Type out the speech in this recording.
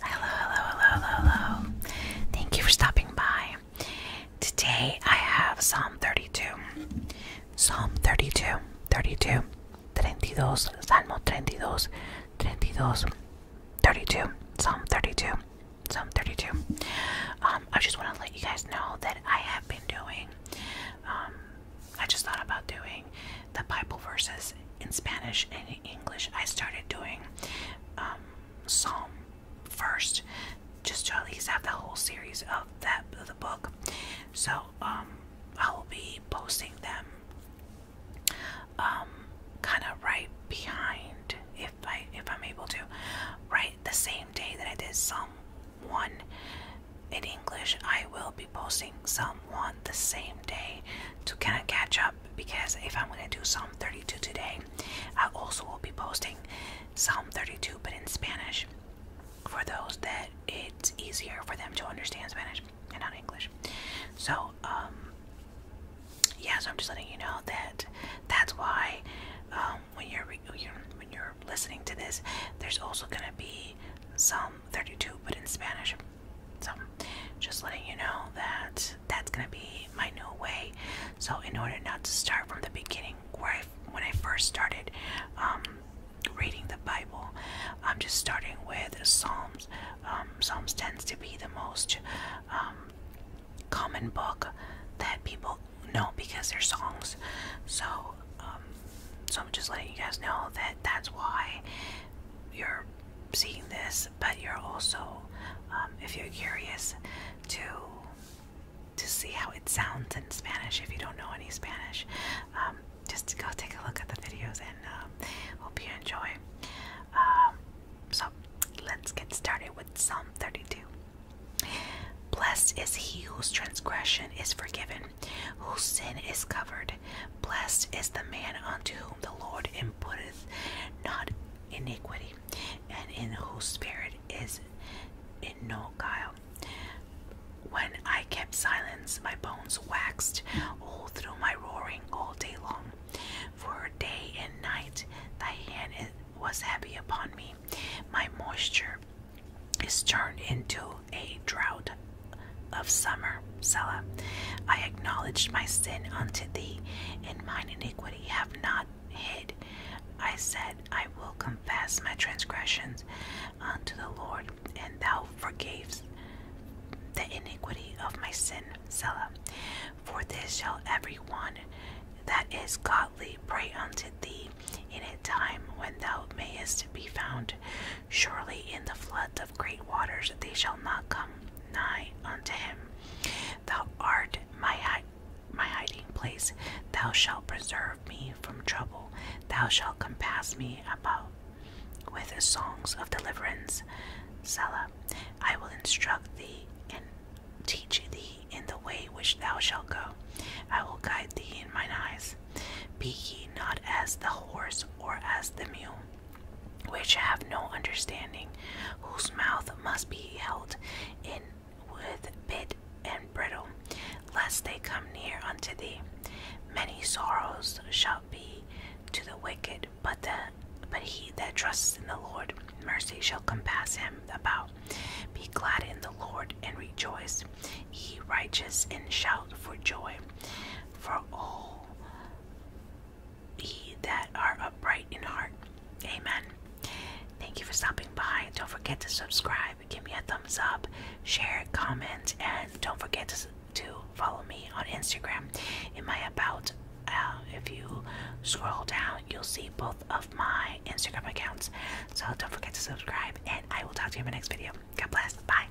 Hello, hello, hello, hello, Thank you for stopping by. Today I have Psalm 32. Psalm 32, 32, 32, Salmo 32, 32, 32, Psalm 32, Psalm 32. Um, I just want to let you guys know that I have been doing um, I just thought about doing the Bible verses in Spanish and English. I started doing um, Psalm first, just to at least have the whole series of that of the book. So I um, will be posting them um, kind of right behind, if I if I'm able to, right the same day that I did Psalm one in English, I will be posting Psalm one the same day to catch up because if I'm gonna do Psalm 32 today, I also will be posting Psalm 32 but in Spanish for those that it's easier for them to understand Spanish and not English. So, um, yeah, so I'm just letting you know that that's why um, when you're when you're listening to this, there's also gonna be some 32, but in Spanish. So, just letting you know that that's gonna be my new way. So, in order not to start from the beginning, where I, when I first started um, reading the Bible, I'm just starting with Psalms. Um, Psalms tends to be the most um, common book that people know because they're songs. So, um, so I'm just letting you guys know that that's why you're seeing this. But you're also, um, if you're curious, to to see how it sounds in Spanish. If you don't know any Spanish, um, just go take a look at the videos and um, hope you enjoy. Um, so let's get started with Psalm 32. Blessed is he whose transgression is forgiven, whose sin is covered. Blessed is the man unto whom the Lord imputeth not iniquity, and in whose spirit is in no guile. When I kept silence my bones waxed all through my roaring all day long. For day and night thy hand was heavy upon me. My moisture is turned into a drought of summer. Selah, I acknowledged my sin unto thee, and mine iniquity have not hid. I said, I will confess my transgressions unto the Lord, and thou Forgives the iniquity of my sin, Selah. For this shall every one that is godly pray unto thee in a time when thou mayest be found. Surely in the floods of great waters they shall not come nigh unto him. Thou art my, my hiding place, thou shalt preserve me from trouble, Thou shalt compass me about with songs of deliverance. Selah, I will instruct thee and teach thee in the way which thou shalt go. I will guide thee in mine eyes. Be ye not as the horse or as the mule, which have no understanding, whose mouth must be held in with bit and brittle, lest they come near unto thee. Many sorrows shall be to the wicked, but he that trusts in the Lord, mercy shall compass him about. Be glad in the Lord and rejoice, ye righteous, and shout for joy. For all ye that are upright in heart, Amen. Thank you for stopping by. Don't forget to subscribe, give me a thumbs up, share, comment, and don't forget to, follow me on Instagram. In my about, uh, if you scroll down, you'll see both of my Instagram accounts. So don't forget to subscribe, and I will talk to you in my next video. God bless. Bye.